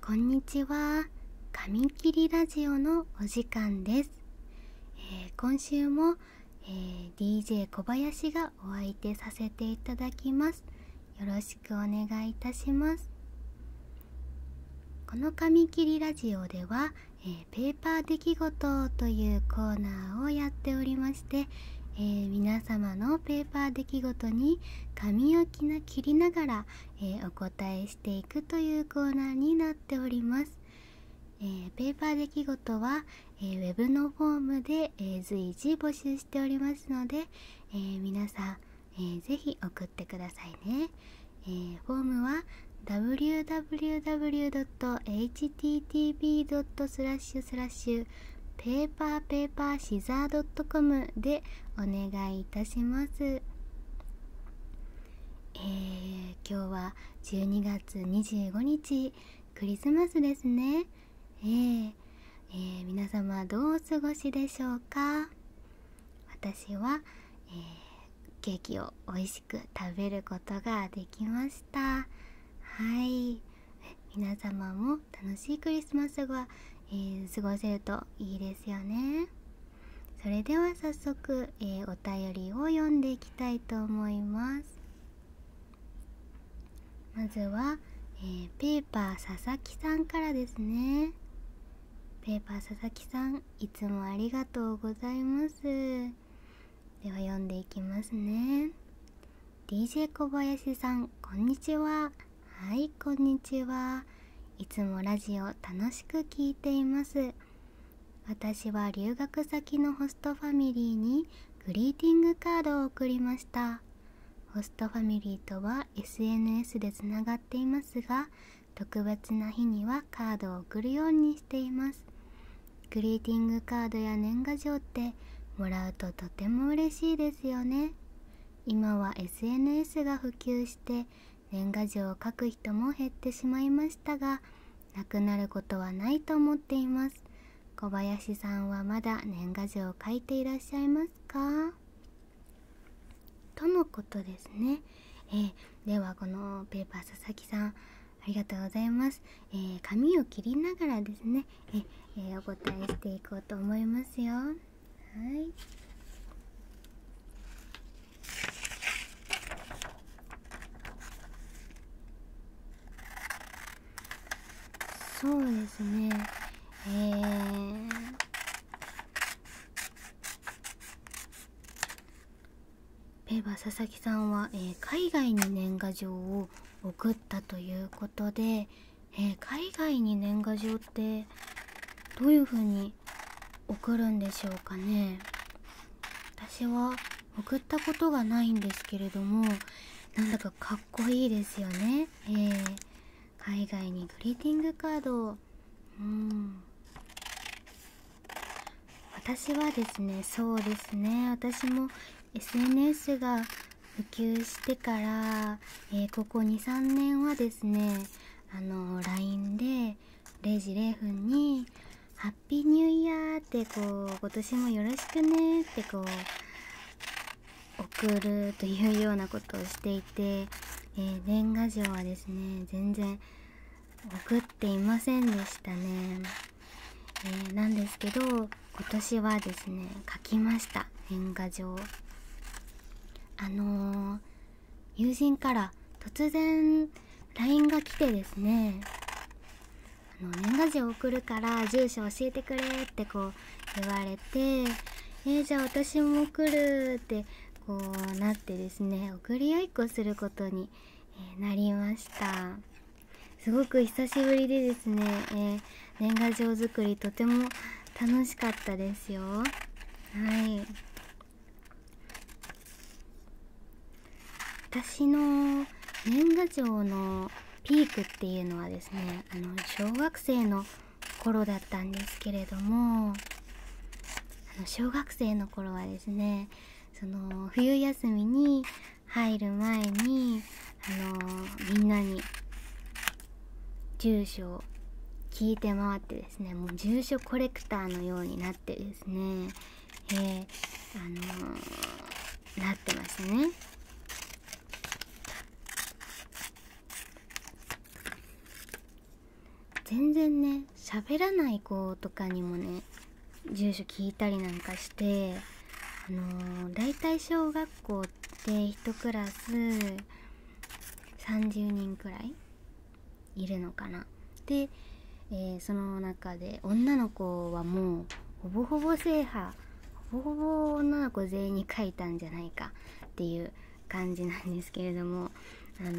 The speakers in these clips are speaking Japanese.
こんにちは髪切りラジオのお時間です、今週も、え DJ 小林がお相手させていただきますよろしくお願いいたしますこの髪切りラジオでは、えペーパー出来事というコーナーをやっておりまして、え皆様のペーパー出来事に髪を切切りながら、えお答えしていくというコーナーになっております。えペーパー出来事は、えー、ウェのフォームで、え随時募集しておりますので、え皆さん、えー、ぜ送ってくださいね、えフォームは www.http.com B ペーパーペーパーシザー .com でお願いいたします。え今日は12月25日クリスマスですね。ええ皆様どうお過ごしでしょうか私は、えケーキを美味しく食べることができました。はい。皆様楽しいクリスマスが、え過ごせるといいですよねそれでは早速、えお便りを読んでいきたいと思いますまずは、えペーパー佐々木さんからですねペーパー佐々木さんいつもありがとうございますでは読んでいきますね DJ 小林さんこんにちははいこんにちはいつもラジオ楽しく聴いています私は留学先のホストファミリーにグリーティングカードを送りましたホストファミリーとは SNS でつながっていますが特別な日にはカードを送るようにしていますグリーティングカードや年賀状ってもらうととても嬉しいですよね今は SNS が普及して年賀状を書く人も減ってしまいましたが亡くなることはないと思っています小林さんはまだ年賀状を書いていらっしゃいますかとのことですね、えー、ではこのペーパー佐々木さんありがとうございます、えー、紙を切りながらですねえー、お答えしていこうと思いますよはいそうですねえー、ペーバ佐々木さんは、えー、海外に年賀状を送ったということで、え海外に年賀状ってどういう風に送るんでしょうかね私は送ったことがないんですけれどもなんだかかっこいいですよねえ海外にグリーティングカードうん私はですねそうですね私も SNS が普及してから、えここ23年はですねあの LINE で0時0分に「ハッピーニューイヤー」ってこう「今年もよろしくね」ってこう送るというようなことをしていて、え年賀状はですね全然送っていませんでしたね。えー、なんですけど今年はですね書きました年賀状あの友人から突然 LINE が来てですねあの年賀状送るから住所教えてくれってこう言われてえじゃあ私も送るってこうなってですね送り合いっこすることに、えなりましたすごく久しぶりでですね、年賀状作りとても楽しかったですよはい私の年賀状のピークっていうのはですねあの小学生の頃だったんですけれどもあの小学生の頃はですねその冬休みに入る前にあのみんなに住所を聞いて回ってですねもう住所コレクターのようになってですねえー、あのなってましたね全然ね喋らない子とかにもね住所聞いたりなんかしてあのー、大体小学校で1クラス30人くらいいるのかなで、えその中で女の子はもうほぼほぼ制覇ほぼほぼ女の子全員に書いたんじゃないかっていう感じなんですけれどもあの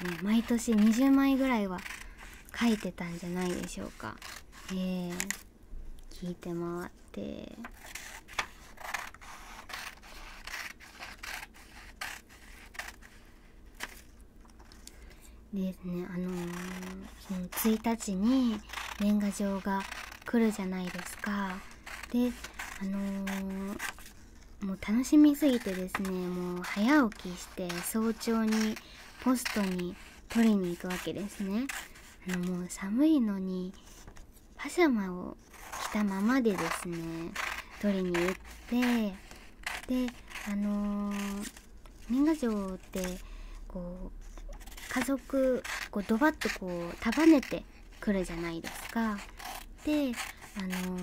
ね、毎年20枚ぐらいは書いてたんじゃないでしょうか。え聞いて回ってですねあのー、その1日に年賀状が来るじゃないですかであのもう楽しみすぎてですねもう早起きして早朝にポストに取りに行くわけですねあのもう寒いのにパジャマを着たままでですね取りに行ってであのー、年賀状ってこう家族こうドバッとこう束ねてくるじゃないですかであの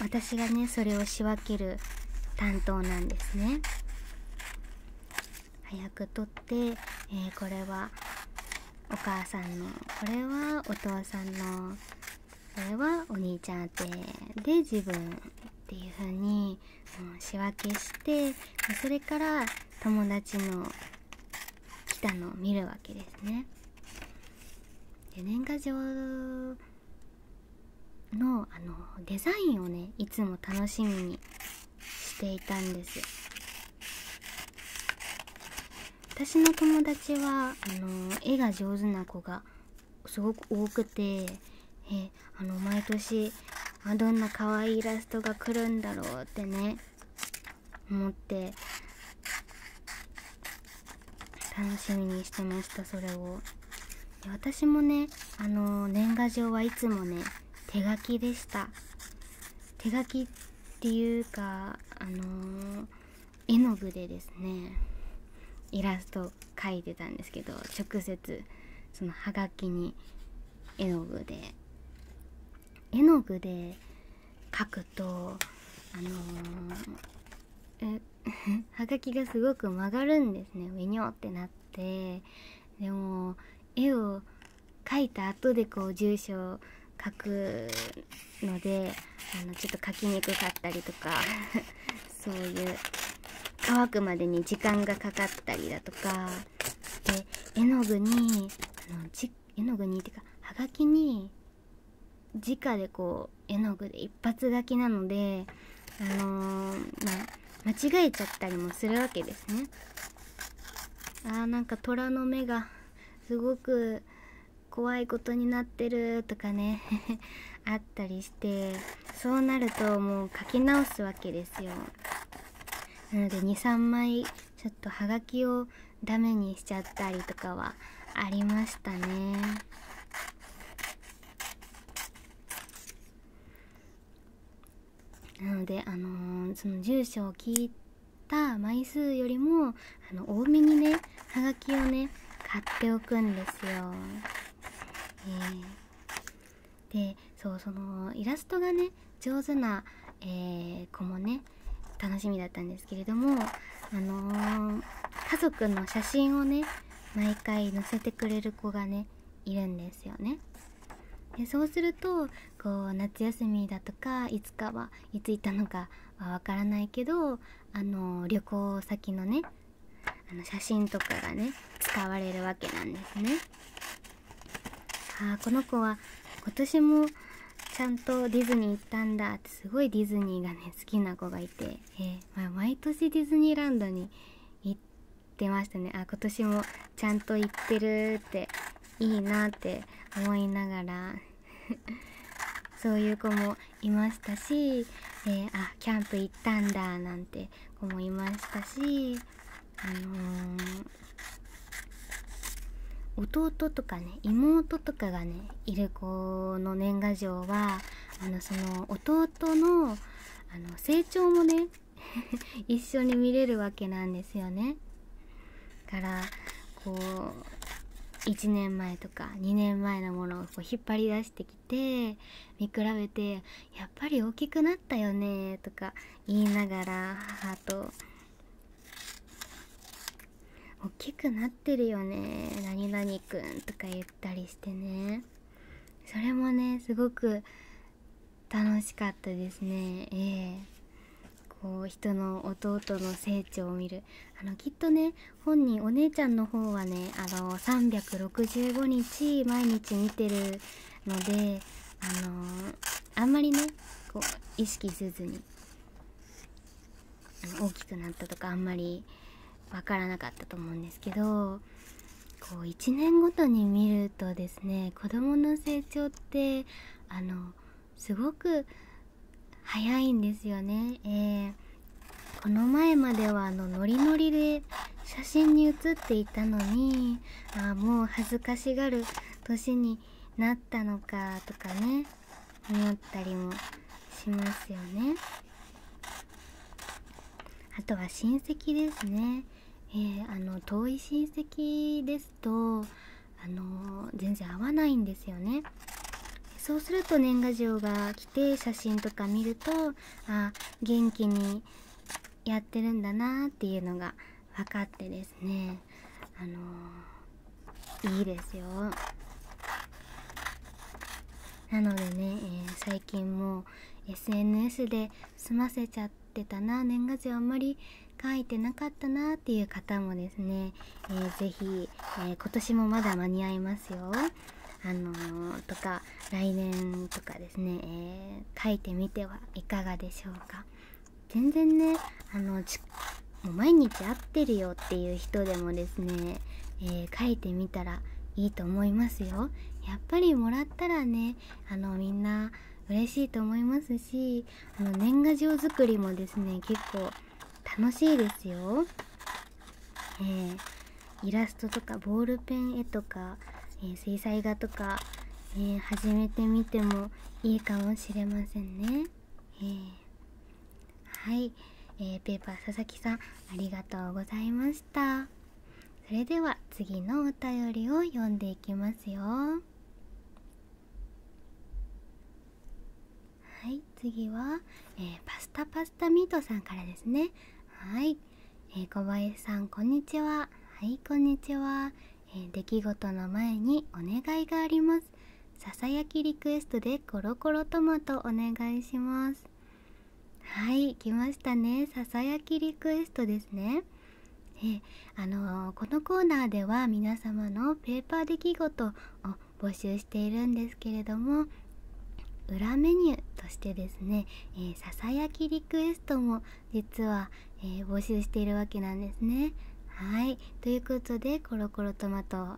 私がねそれを仕分ける担当なんですね早く取って、えこれはお母さんのこれはお父さんのこれはお兄ちゃん宛てで自分っていう風に、うん、仕分けしてそれから友達の来たのを見るわけですね。で年賀状のあのデザインをねいつも楽しみにしていたんです私の友達はあの絵が上手な子がすごく多くてえあの毎年あどんな可愛いイラストが来るんだろうってね思って楽しみにしてましたそれをで私もねあの年賀状はいつもね手書きでした手書きっていうかあの絵の具でですねイラスト描いてたんですけど直接そのはがきに絵の具で絵の具で描くとあのはがきがすごく曲がるんですねウニョってなってでも絵を描いた後でこう住所を書くのであのちょっと描きにくかったりとか そういう乾くまでに時間がかかったりだとかで絵の具にあの絵の具にっていうかはがきに直でこう絵の具で一発書きなのであのま間違えちゃったりもするわけですねあーなんか虎の目がすごく怖いことになってるとかね あったりしてそうなるともう書き直すわけですよなので23枚ちょっとはがきをダメにしちゃったりとかはありましたねなのであのその住所を聞いた枚数よりもあの多めにねハガキをね買っておくんですよ。えでそうそのイラストがね上手な、え子もね楽しみだったんですけれどもあの家族の写真をね毎回乗せてくれる子がねいるんですよねでそうするとこう夏休みだとかいつかはいついたのかはわからないけどあの旅行先のねあの写真とかがね使われるわけなんですね。ああこの子は今年もちゃんとディズニー行ったんだってすごいディズニーがね好きな子がいてえー、まあ、毎年ディズニーランドに行ってましたねあ今年もちゃんと行ってるっていいなって思いながら そういう子もいましたし、えー、あキャンプ行ったんだなんて子もいましたし、あの弟とかね妹とかがねいる子の年賀状はあのその弟のあの成長もね 一緒に見れるわけなんですよね。からこう1年前とか2年前のものを引っ張り出してきて見比べてやっぱり大きくなったよねとか言いながら母と大きくなってるよね何々くんとか言ったりしてねそれもねすごく楽しかったですねええこう人の弟の成長を見るあのきっとね本人お姉ちゃんの方はねあの365日毎日見てるのであのあんまりねこう意識せずに大きくなったとかあんまり分からなかったと思うんですけどこう1年ごとに見るとですね子どもの成長ってあのすごく早いんですよね。えこの前まではあのノリノリで写真に写っていたのにあもう恥ずかしがる年になったのかとかね思ったりもしますよねあとは親戚ですね、えあの遠い親戚ですとあの全然合わないんですよねそうすると年賀状が来て写真とか見るとあ元気にやってるんだなっていうのが分かってですねあのいいですよなのでね、え最近も SNS で済ませちゃってたな年賀状あんまり書いてなかったなっていう方もですね、えー、ぜえ今年もまだ間に合いますよ。あのとか来年とかですね、え書いてみてはいかがでしょうか。全然ねあのってるよっていう人でもですね、え書いてみたらいいと思いますよ。やっぱりもらったらねあのみんな嬉しいと思いますしあの年賀状作りもですね結構楽しいですよ。えイラストとかボールペン絵とか、え水彩画とか、え始めてみてもいいかもしれませんね。えーはい、えー、ペーパー佐々木さんありがとうございましたそれでは次のお便りを読んでいきますよはい次は、えー、パスタパスタミートさんからですねはい、えー、小林さんこんにちははいこんにちは、えー、出来事の前にお願いがありますさきリクエストでコロコロトマトお願いしますはい来ましたねささやきリクエストですねえあのこのコーナーでは皆様のペーパー出来事を募集しているんですけれども裏メニューとしてですね、えー、ささやきリクエストも実は、え募集しているわけなんですね。はい。ということで、コロコロトマト、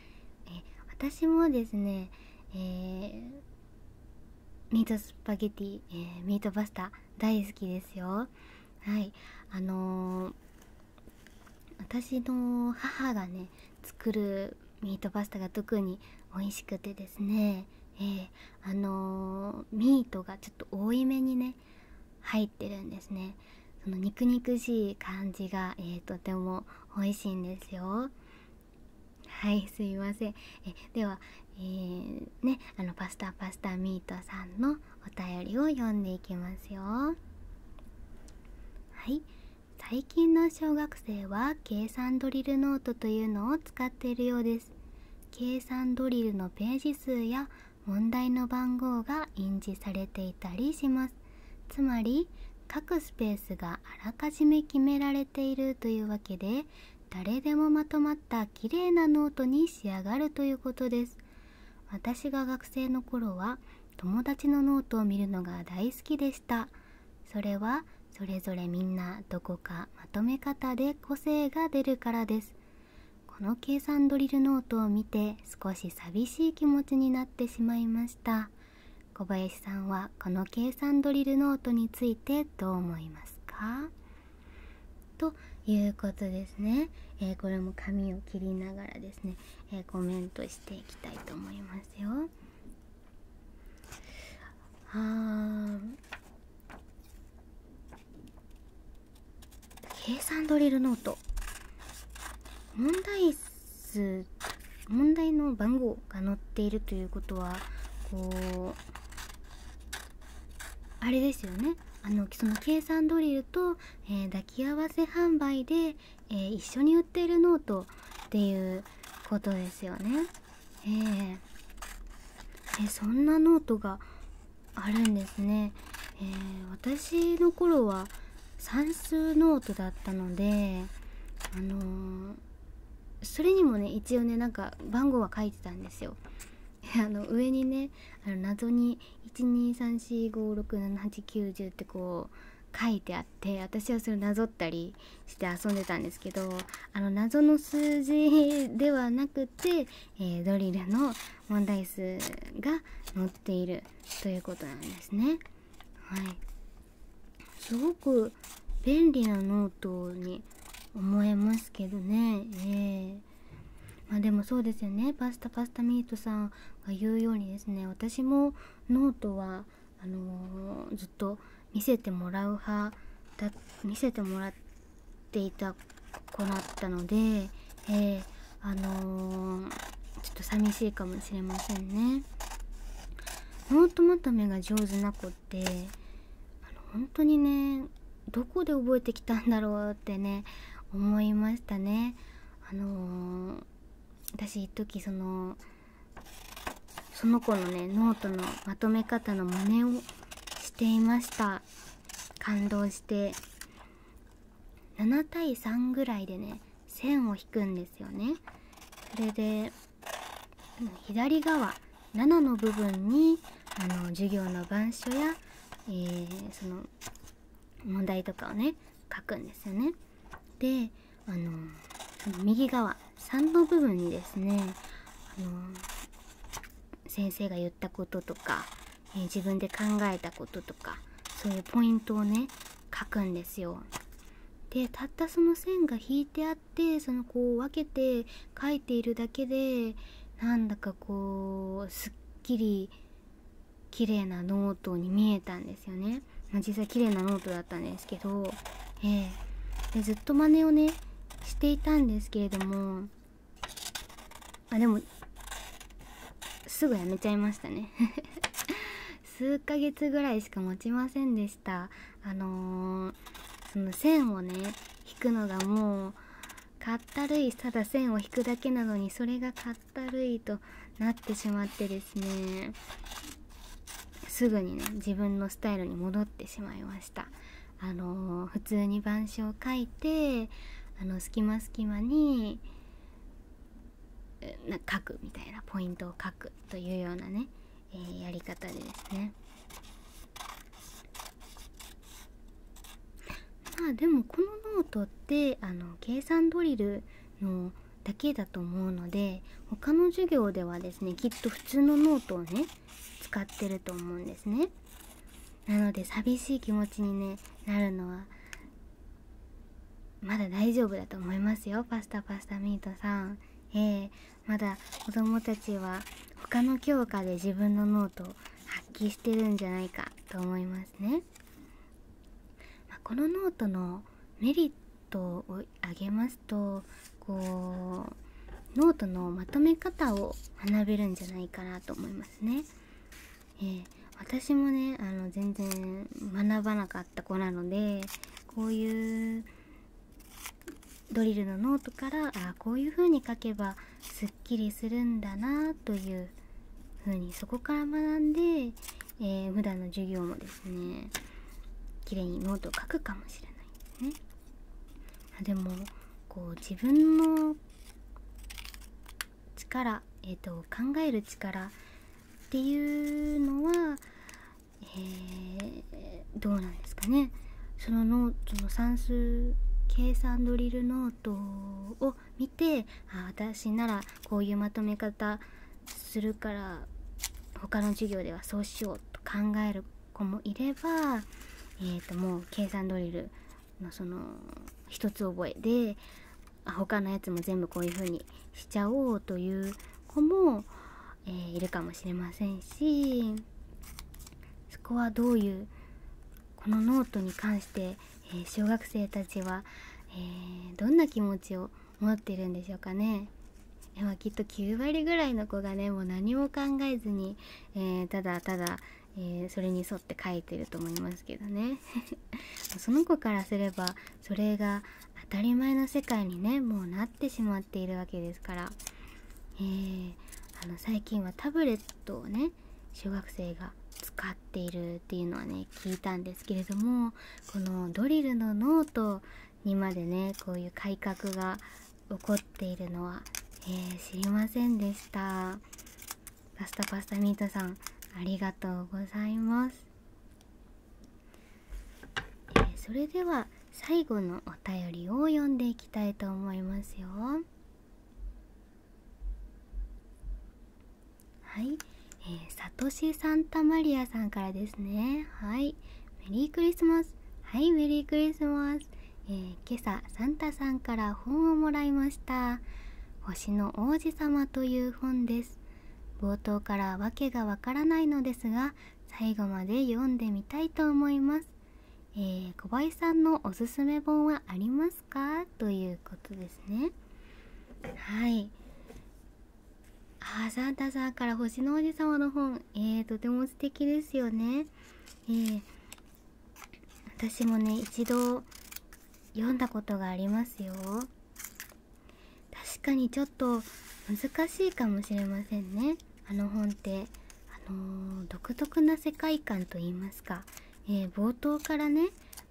え私もですね、ミートスパゲティ、えミートパスタ大好きですよはいあの私の母がね作るミートパスタが特に美味しくてですねえー、あのミートがちょっと多いめにね入ってるんですねその肉肉しい感じが、えとても美味しいんですよはいすいませんえでは、えねあのパスタパスタミートさんのお便りを読んでいきますよはい最近の小学生は計算ドリルノートというのを使っているようです計算ドリルのページ数や問題の番号が印字されていたりしますつまり各スペースがあらかじめ決められているというわけで誰でもまとまったきれいなノートに仕上がるということです私が学生の頃は友達のノートを見るのが大好きでしたそれはそれぞれみんなどこかまとめ方で個性が出るからですこの計算ドリルノートを見て少し寂しい気持ちになってしまいました。小林さんはこの計算ドリルノートについてどう思いますかということですね、これも紙を切りながらですね、コメントしていきたいと思いますよ計算ドリルノート問題ず問題の番号が載っているということはこうあれですよねあのその計算ドリルと、え抱き合わせ販売で、え一緒に売っているノートっていうことですよね。ええそんなノートがあるんですね。え私の頃は算数ノートだったのであのそれにもね一応ねなんか番号は書いてたんですよ あの上にねあの謎に12345678910ってこう書いてあって私はそれなぞったりして遊んでたんですけどあの謎の数字ではなくて、えドリルの問題数が載っているということなんですね。はい、すごく便利なノートに思えますけどね。えーまでもそうですよねパスタパスタミートさんが言うようにですね私もノートはあのずっと見せてもらう派だ見せてもらっていた子だったので、あのちょっと寂しいかもしれませんねノートまとめが上手な子ってあの本当にねどこで覚えてきたんだろうってね思いましたねあの私一時そのその子のねノートのまとめ方の真似をしていました感動して7対3ぐらいでね線を引くんですよねそれで左側7の部分にあの授業の板書や、えその問題とかをね書くんですよねであの右側3の部分にですねあの先生が言ったこととかえ自分で考えたこととかそういうポイントをね書くんですよ。でたったその線が引いてあってそのこう分けて書いているだけでなんだかこうすっきり綺麗なノートに見えたんですよね。ま実際綺麗なノートだったんですけど、えー、でずっと真似をねしていたんですけれどもあでもすぐやめちゃいましたね 数ヶ月ぐらいしか持ちませんでしたあのその線をね引くのがもうかったるいただ線を引くだけなのにそれがかったるいとなってしまってですねすぐにね自分のスタイルに戻ってしまいましたあの普通に板書を書いてあの隙間隙間にな書くみたいなポイントを書くというようなね、えやり方でですね まあでもこのノートってあの計算ドリルのだけだと思うので他の授業ではですねきっと普通のノートをね使ってると思うんですねなので寂しい気持ちに、ね、なるのはまだ大丈夫だと思いますよパスタパスタミートさんえー、まだ子供たちは他の教科で自分のノートを発揮してるんじゃないかと思いますね、まこのノートのメリットを挙げますとこうノートのまとめ方を学べるんじゃないかなと思いますねえ私もねあの全然学ばなかった子なのでこういうドリルのノートからあこういう風に書けばすっきりするんだなという風にそこから学んで、えー、普段の授業もですね綺麗にノートを書くかもしれないんですね。でもこう自分の力、えーと、考える力っていうのは、えー、どうなんですかねそのノートの算数計算ドリルノートを見てあ私ならこういうまとめ方するから他の授業ではそうしようと考える子もいれば、えー、ともう計算ドリルのその一つ覚えで他のやつも全部こういう風にしちゃおうという子も、えいるかもしれませんしそこはどういうこのノートに関して、え小学生たちは、えどんな気持ちを持ってるんでしょうかね。ではきっと9割ぐらいの子がねもう何も考えずに、えただただえそれに沿って書いてると思いますけどね その子からすればそれが当たり前の世界にねもうなってしまっているわけですから、えあの最近はタブレットをね小学生が使っているっていうのはね聞いたんですけれどもこのドリルのノートにまでねこういう改革が起こっているのは、え知りませんでした。パスタパスタミートさんありがとうございます、えそれでは最後のお便りを読んでいきたいと思いますよはい、えサトシ・サンタマリアさんからですねはいメリークリスマスはいメリークリスマス、えー、今朝サンタさんから本をもらいました星の王子様という本です冒頭からわけがわからないのですが最後まで読んでみたいと思います、え小林さんのおすすめ本はありますかということですねはいあサンさんから星の王子様の本、えとても素敵ですよね、えー、私もね一度読んだことがありますよ確かにちょっと難しいかもしれませんねあの本ってあの独特な世界観といいますか、え冒頭からね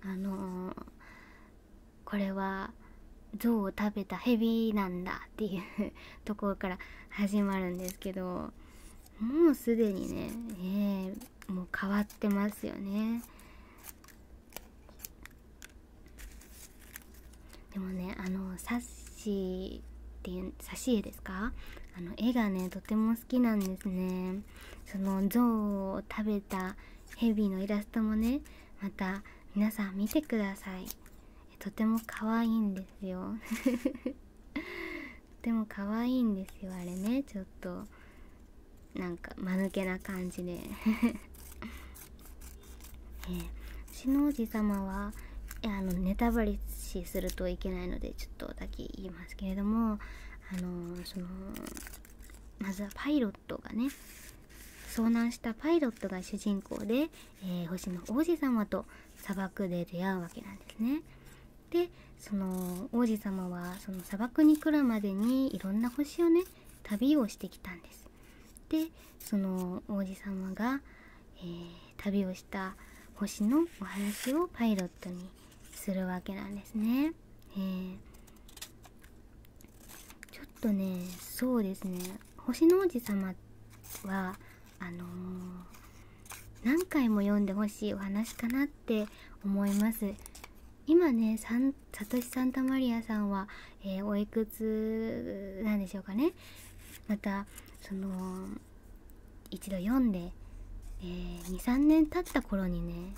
あのこれは象を食べたヘビなんだっていう ところから始まるんですけどもうすでにね、えもう変わってますますよねでもねあのサッシーっていう挿絵ですかあの絵がねとても好きなんですねその象を食べたヘビのイラストもねまた皆さん見てくださいとても可愛いんですよ とても可愛いんですよあれねちょっとなんか間抜けな感じで えー、の王子様はあのネタバレしするといけないのでちょっとだけ言いますけれどもあのそのまずはパイロットがね遭難したパイロットが主人公で、え星の王子様と砂漠で出会うわけなんですね。でその王子様はその砂漠に来るまでにいろんな星をね旅をしてきたんです。でその王子様が、え旅をした星のお話をパイロットにするわけなんですね。えちょっとねそうですね星の王子様はあの何回も読んでほしいお話かなっって思います今ねサトシ・サンタマリアさんは、えおいくつなんでしょうかねまたその一度読んで、え23年経った頃にね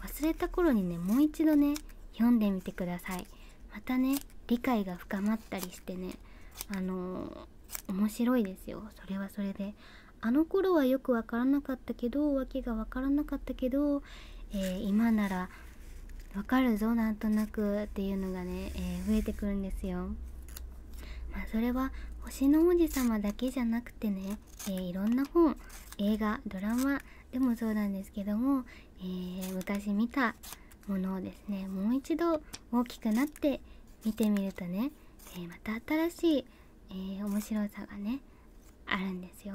忘れた頃にねもう一度ね読んでみてくださいまたね理解が深まったりしてねあの面白いですよそれはそれであの頃はよくわからなかったけどわけがわからなかったけど、え今ならわかるぞなんとなくっていうのがね、え増えてくるんですよ。まそれは星の王子様だけじゃなくてね、えいろんな本映画ドラマでもそうなんですけども、えー、昔見たものをですねもう一度大きくなって見てみるとね、えまた新しいえ面白さがねあるんですよ。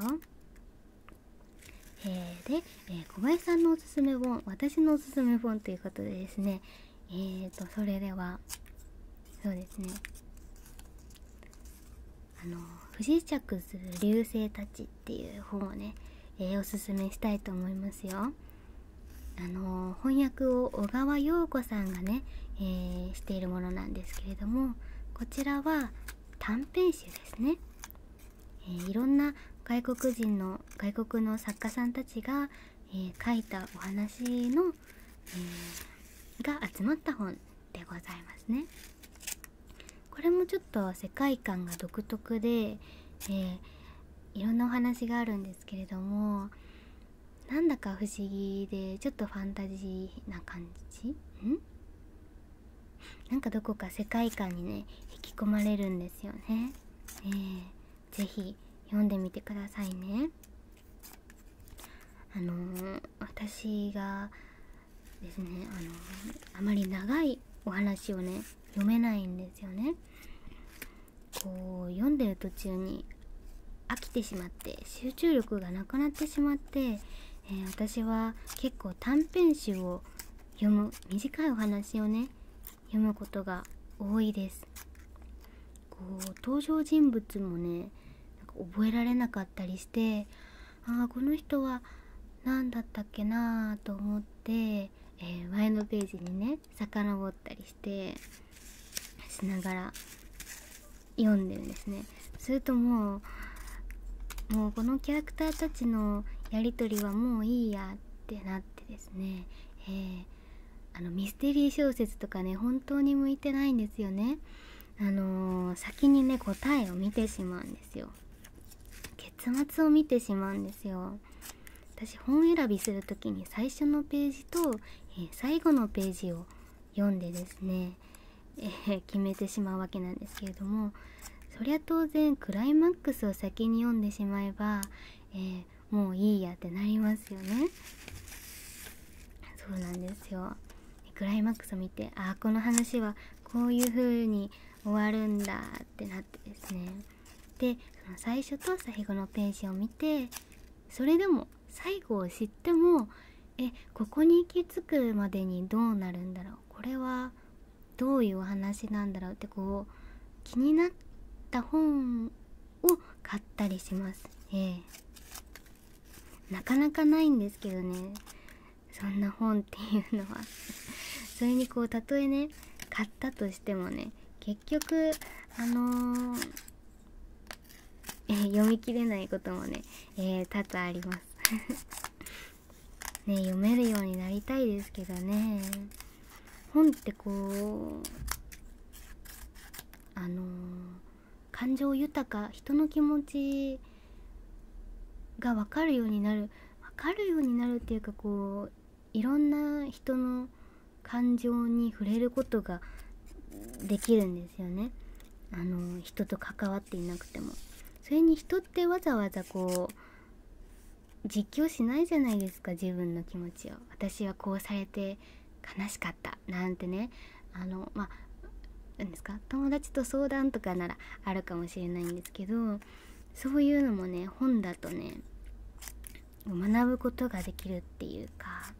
えで、え小林さんのおすすめ本私のおすすめ本ということでですねえーとそれではそうですねあの「不時着する流星たち」っていう本をね、えおすすめしたいと思いますよ。あの翻訳を小川陽子さんがねえしているものなんですけれどもこちらは短編集ですね、えいろんな外国人の外国の作家さんたちが、え書いたお話の、えが集まった本でございますね。これもちょっと世界観が独特で、えいろんなお話があるんですけれどもなんだか不思議でちょっとファンタジーな感じんなんかどこか世界観にね引き込まれるんですよね。えー、ぜひ読んでみてくださいね。あの私がですね、あのあまり長いお話をね読めないんですよね。こう読んでる途中に飽きてしまって集中力がなくなってしまって、え私は結構短編集を読む短いお話をね読むことが多いですこう登場人物もねなんか覚えられなかったりしてああこの人は何だったっけなーと思って、えー、前のページにね遡ったりしてしながら読んでるんですねするともうもうこのキャラクターたちのやり取りはもういいやってなってですね、えー、あのミステリー小説とかね本当に向いてないんですよねあの先にね答えを見てしまうんですよ結末を見てしまうんですよ私本選びする時に最初のページと、え最後のページを読んでですね、え決めてしまうわけなんですけれどもそりゃ当然クライマックスを先に読んでしまえば、えもういいやってなりますよねそうなんですよクライマックスを見てああこの話はこういう風に終わるんだってなってですねでその最初と最後のページを見てそれでも最後を知ってもえここに行き着くまでにどうなるんだろうこれはどういうお話なんだろうってこう気になった本を買ったりします、えー、なかなかないんですけどねそんな本っていうのは それにこうたとえね買ったとしてもね結局あのえ読み切れないこともね、え多々あります ね読めるようになりたいですけどね本ってこうあの感情豊か人の気持ちが分かるようになる分かるようになるっていうかこういろんな人の感情に触れることができるんですよねあの人と関わっていなくてもそれに人ってわざわざこう実況しないじゃないですか自分の気持ちを私はこうされて悲しかったなんてねあのまあ何ですか友達と相談とかならあるかもしれないんですけどそういうのもね本だとね学ぶことができるっていうか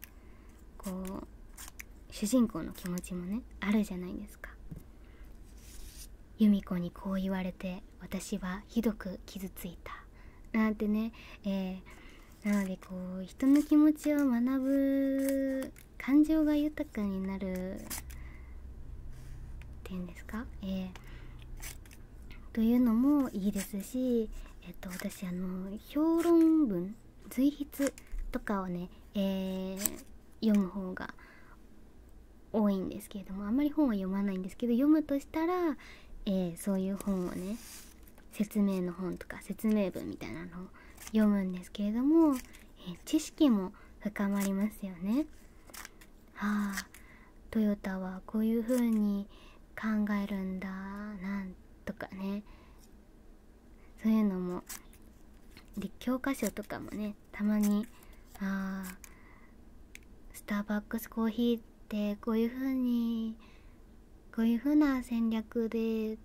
こう主人公の気持ちもねあるじゃないですか由美子にこう言われて私はひどく傷ついたなんてね、えなのでこう人の気持ちを学ぶ感情が豊かになるっていうんですか、えー、というのもいいですし、えっと、私あの評論文随筆とかをね、え読む方が多いんですけれどもあんまり本は読まないんですけど読むとしたら、えそういう本をね説明の本とか説明文みたいなのを読むんですけれども、え知識も深まりますよね。はあトヨタはこういう風に考えるんだとかねそういうのもで教科書とかもねたまにあスターバックスコーヒーってこういう風にこういう風な戦略で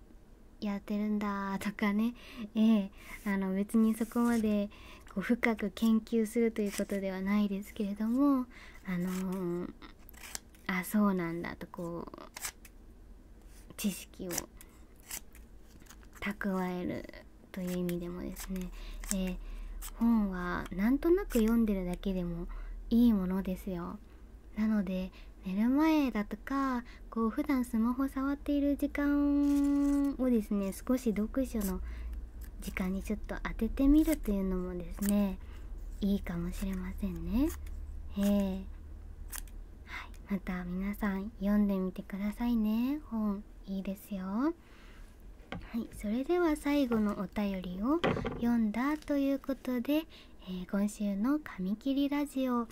やってるんだとかね、ええ、あの別にそこまでこう深く研究するということではないですけれども、あのあそうなんだとこう知識を蓄えるという意味でもですね、え本はなんとなく読んでるだけでもいいものですよなので寝る前だとかこう普段スマホ触っている時間をですね少し読書の時間にちょっと当ててみるというのもですねいいかもしれませんねえまた皆さん読んでみてくださいね本いいですよはいそれでは最後のお便りを読んだということで、え今週の「紙切りラジオ」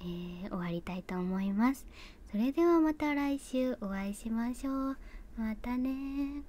え終わりたいと思いますそれではまた来週お会いしましょうまたね